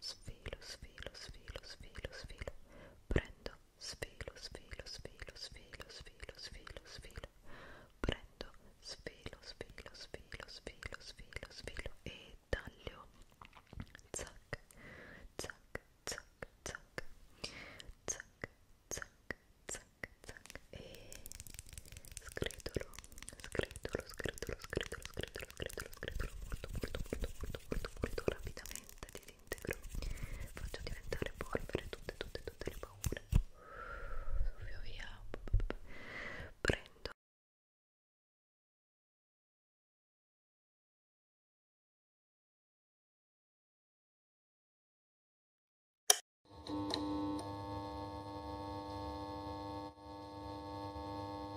sfilo, sfilo, sfilo, sfilo, sfilo, prendo, sfilo, sfilo, sfilo, sfilo, sfilo, sfilo, sfilo, prendo, sfilo, sfilo, sfilo, sfilo, sfilo, sfilo e taglio, zac, zac, zac, zac, zac, zac, zac, zac e scritolo, scritolo, scritolo, scritolo, scritolo scretolo, scretolo, scretolo molto, molto, molto, molto, molto, molto rapidamente disintegro faccio diventare polvere tutte, tutte, tutte le paure via via prendo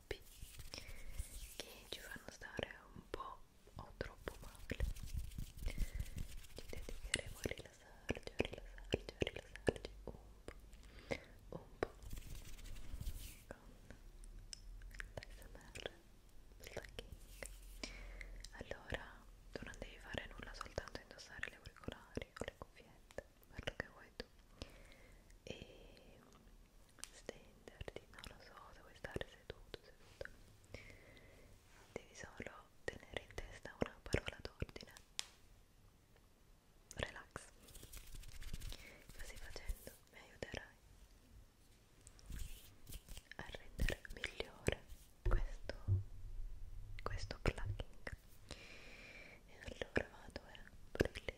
hobby che ci fanno stare un po' o troppo male ci dedicheremo a rilassarci, a rilassarci, a rilassarci un po', un po' con l'ASMR slacking allora tu non devi fare nulla soltanto indossare le auricolari o le cuffiette quello che vuoi tu e stenderti, non lo so, devi stare seduto, seduto devi solo tenere in testa una parola d'ordine relax così facendo mi aiuterai a rendere migliore questo questo plucking e allora vado a eh,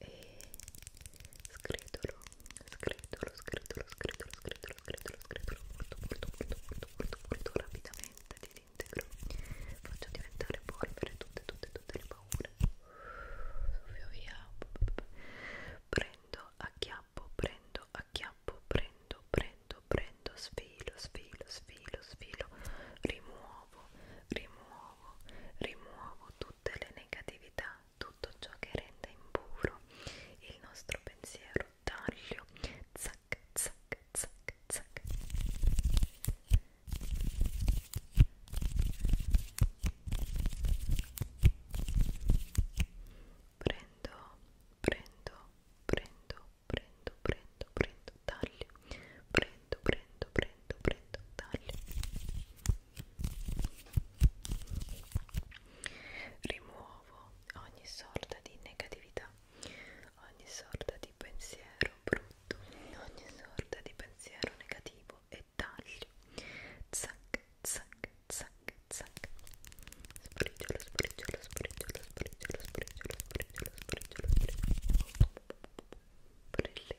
e scretolo, scretolo, scretolo, scretolo, scretolo, scretolo, scretolo molto, molto, molto, molto, molto, molto rapidamente disintegro, faccio diventare polvere tutte, tutte, tutte le paure, via via, prendo, acchiappo, prendo, acchiappo, prendo, prendo, prendo, sfilo, sfilo, sfilo, sfilo, rimuovo, rimuovo, rimuovo tutte le negatività tutto ciò che rende impuro il nostro pensiero. Taglio, zac, zac, zac, zac. Prendo, prendo, prendo, prendo, prendo, prendo, taglio. Prendo, prendo, prendo, prendo, taglio. Rimuovo ogni sorta di negatività, ogni sorta di pensiero brutto, ogni sorta di pensiero negativo e taglio. Zac, zac, zac, zac. Spriggiolo, spriggiolo, spriggiolo, spriggiolo, spriggiolo, spriggiolo, spriggiolo, spriggiolo. Prelevo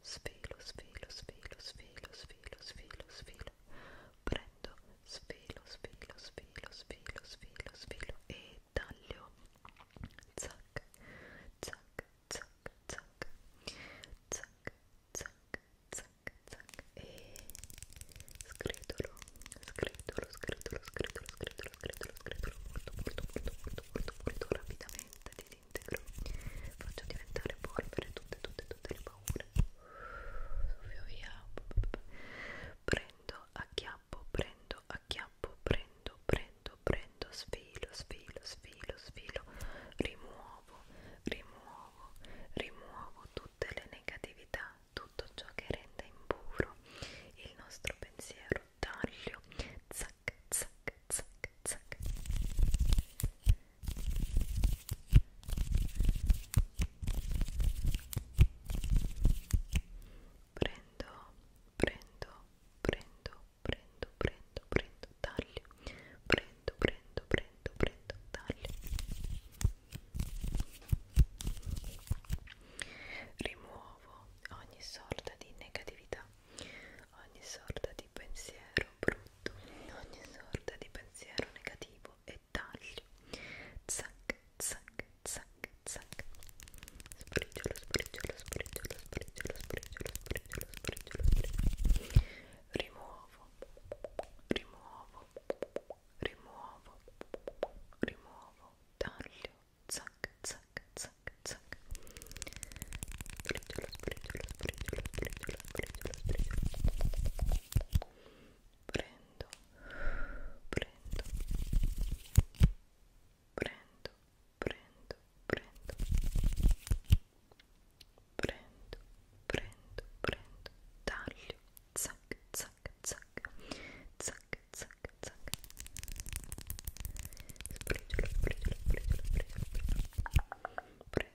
svelo, svelo, svelo, svelo, svelo, svelo, svelo, prendo, svelo, svelo, svelo, svelo, svelo, svelo e taglio, zac, zac, zac, zac, zac, zac, zac, zac e scritolo, scritolo, scritolo, scritolo, scritolo, scritolo, scritolo molto, molto, molto, molto, molto, molto rapidamente di disintegro faccio diventare polvere tutte tutte tutte le paure via via prendo acchiappo prendo acchiappo prendo prendo prendo sfilo sfilo sfilo sfilo rimuovo rimuovo rimuovo tutte le negatività tutto ciò che rende impuro il nostro pensiero taglio zac zac zac zac prendo prendo prendo prendo prendo prendo taglio prendo prendo prendo prendo taglio rimuovo ogni sorta di negatività ogni sorta di pensiero brutto, ogni sorta di pensiero negativo e taglio. Zac, zac, zac, zac. Spriggiolo, spriggiolo, spriggiolo, spriggiolo, spriggiolo, spriggiolo, spriggiolo, spriggiolo. Rimuovo, rimuovo, rimuovo, rimuovo, taglio. Zac, zac, zac, zac. Sbriciolo, sbriciolo, sbriciolo, sbriciolo, sbriciolo, sbriciolo. Prendo, prendo, prendo, prendo, prendo, prendo, prendo, prendo, taglio, zac, zac, zac, zac, zac, zac. Sbriciolo, sbriciolo, sbriciolo, sbriciolo, sbriciolo. Prendo,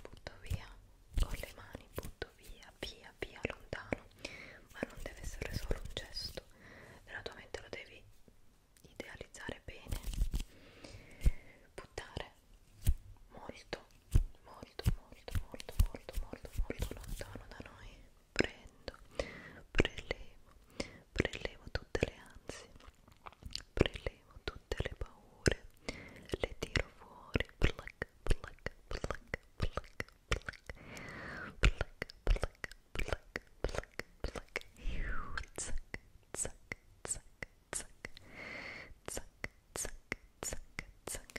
butto via con le mani butto via via via lontano ma non deve essere solo un gesto nella tua mente lo devi idealizzare bene buttare molto molto molto molto molto molto molto lontano da noi prendo prelevo prelevo tutte le ansie, prelevo tutte le paure, le tiro fuori, pluck, pluck, pluck, pluck, pluck, pluck, pluck, pluck, pluck, pluck, zack, zack, zack, zack, zack, zack, zack, zack.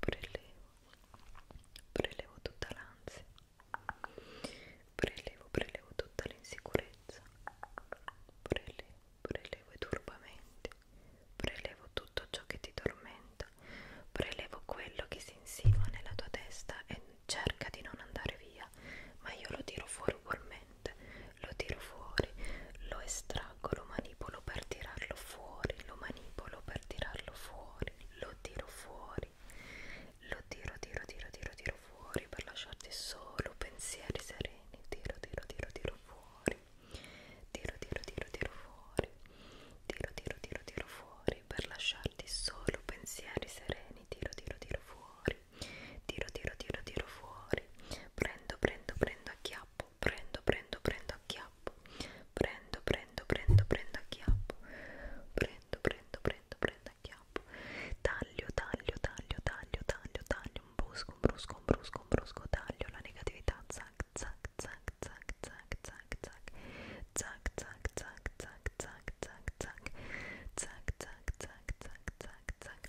prelevo prelevo tutta l'ansia prelevo prelevo tutta l'insicurezza prelevo prelevo i turbamenti prelevo tutto ciò che ti tormenta prelevo quello che si insinua nella tua testa e cerca di non andare via, ma io lo tiro fuori ugualmente, lo tiro fuori, lo estraggo, lo manipolo per tirarlo fuori, lo manipolo per tirarlo fuori, lo tiro fuori, lo tiro, tiro, tiro, tiro, tiro fuori per lasciarti solo pensieri sereni, tiro, tiro, tiro, tiro fuori, tiro, tiro, tiro, tiro fuori, tiro, tiro, tiro, tiro fuori fuori per lasciarti solo pensieri sereni tiro tiro tiro fuori tiro tiro tiro tiro fuori prendo prendo prendo acchiappo prendo prendo prendo acchiappo prendo prendo prendo prendo acchiappo prendo prendo prendo prendo acchiappo taglio taglio taglio taglio taglio taglio un brusco un brusco un brusco un brusco taglio la negatività zac zac zac zac zac zac zac zac zac zac zac zac zac zac zac zac zac zac zac zac zac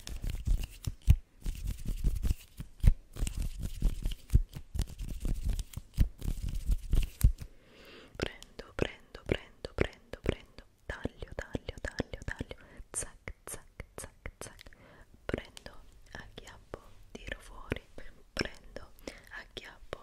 prendo prendo prendo prendo prendo taglio taglio taglio taglio zac zac zac zac prendo a chiappo tiro fuori prendo a chiappo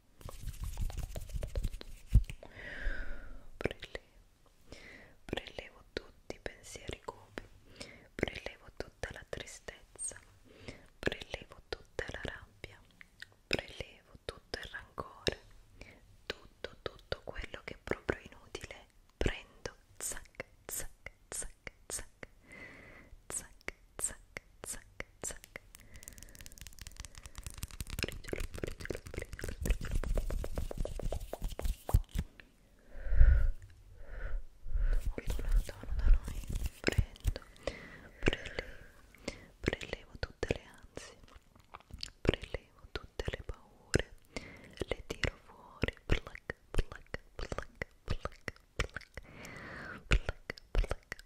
Prelevo, prelevo tutti i pensieri cupi, prelevo tutta la tristezza, prelevo tutta la rabbia, prelevo tutto il rancore, tutto, tutto quello che è proprio inutile. Prendo, zac, zac, zac, zac, zac, zac, zac, zac briciolo, briciolo, briciolo, briciolo molto lontano da noi prendo, prelevo prelevo tutte le ansie prelevo tutte le paure le tiro fuori pluck, pluck, pluck, pluck, pluck pluck, pluck,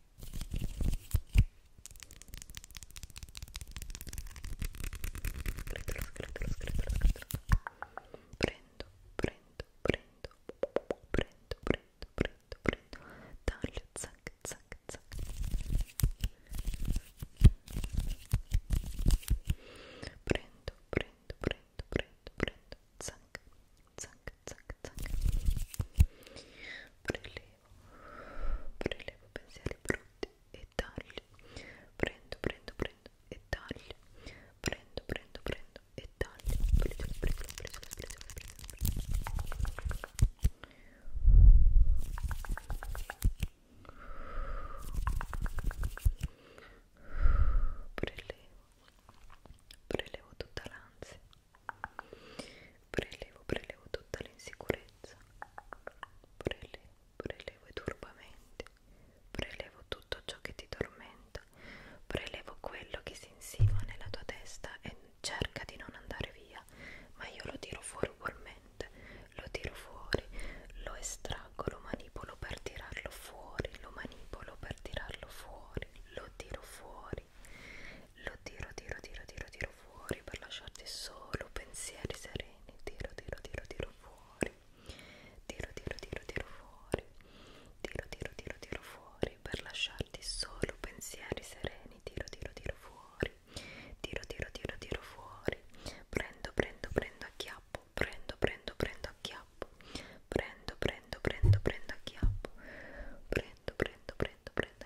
Scretolo, scretolo, scretolo, scretolo. Prendo, prendo, prendo, prendo, prendo, prendo, prendo. Taglio, zac, zac, zac. Prendo, prendo, prendo, prendo, prendo. Zac, zac, zac, zac. Prelevo, prelevo pensieri brutti e taglio, prendo, prendo, prendo e taglio, prendo, prendo, prendo e taglio, prendo, prendo, prendo, prendo, prendo, prelevo, prelevo tutta l'ansia prelevo, prelevo tutta l'insicurezza prelevo, prelevo i turbamenti prelevo tutto ciò che ti tormenta prelevo quello che si insinua nella tua testa e cerca di non andare via ma io lo tiro fuori ugualmente lo tiro fuori, lo estraggo, lo manipolo per tirarlo fuori lo manipolo per tirarlo fuori lo tiro fuori fuori lo tiro, tiro, tiro, tiro, tiro fuori per lasciarti solo pensieri sereni tiro, tiro, tiro, tiro fuori tiro, tiro, tiro, tiro fuori tiro, tiro, tiro, tiro fuori per lasciarti solo pensieri sereni tiro, tiro, tiro fuori tiro, tiro, tiro, tiro fuori prendo, prendo, prendo, acchiappo prendo, prendo, prendo, acchiappo prendo, prendo, prendo, prendo, acchiappo prendo, prendo, prendo, prendo,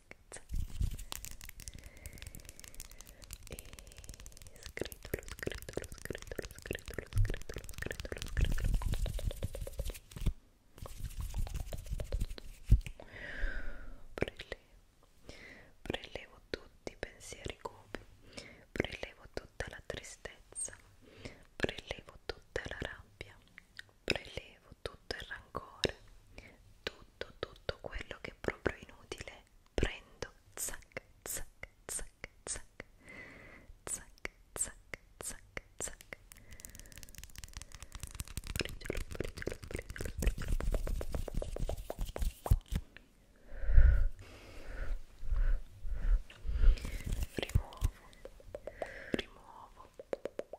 ragazze e scritolo, scritolo, scritolo, scritolo, scritolo, scritolo, scritolo prelevo, prelevo tutti i pensieri cupi prelevo tutta la tristezza prelevo tutta la rabbia prelevo tutto il rancore, tutto, tutto quello che è proprio inutile, prendo, zac, zac, zac, zac, zac, zac, zac, zac, briciolo, briciolo, briciolo, briciolo. rimuovo, rimuovo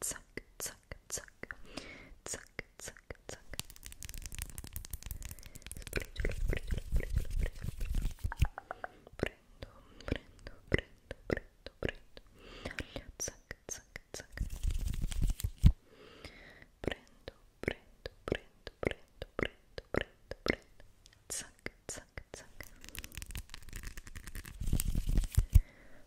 zac, zac, zac, zac, zac, zac. Sbriciolo, sbriciolo, sbriciolo, sbriciolo. Prendo, prendo, prendo, prendo, prendo. Zac, zac, zac. Prendo, prendo, prendo, prendo, prendo, prendo, prendo. Zac, zac, zac.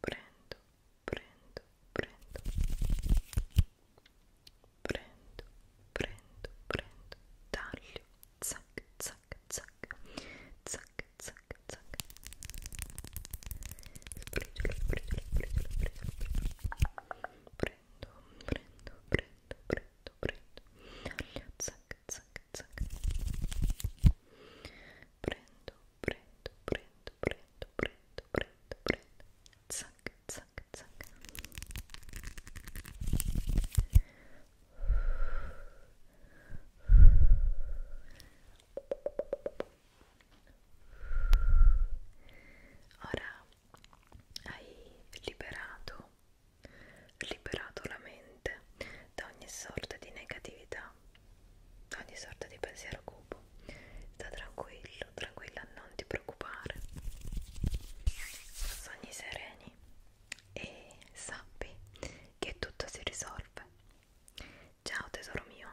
prendo, prendo, prendo, prendo, prendo, prendo, taglio, zac, zac, zac, zac, zac, zac, prendo, prendo, prendo, prendo, prendo, zac, zac, zac prendo prendo prendo prendo prendo prendo prendo zac zac zac Ora hai liberato, liberato la mente mente da ogni sorta di negatività, da ogni sorta di pensiero cupo. Sta tranquillo, tranquilla, non ti preoccupare. Sogni sereni e sappi che tutto si risolve. Ciao tesoro mio,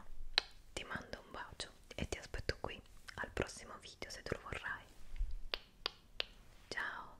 ti mando un bacio e ti aspetto qui al prossimo video se tu lo vorrai. Ciao!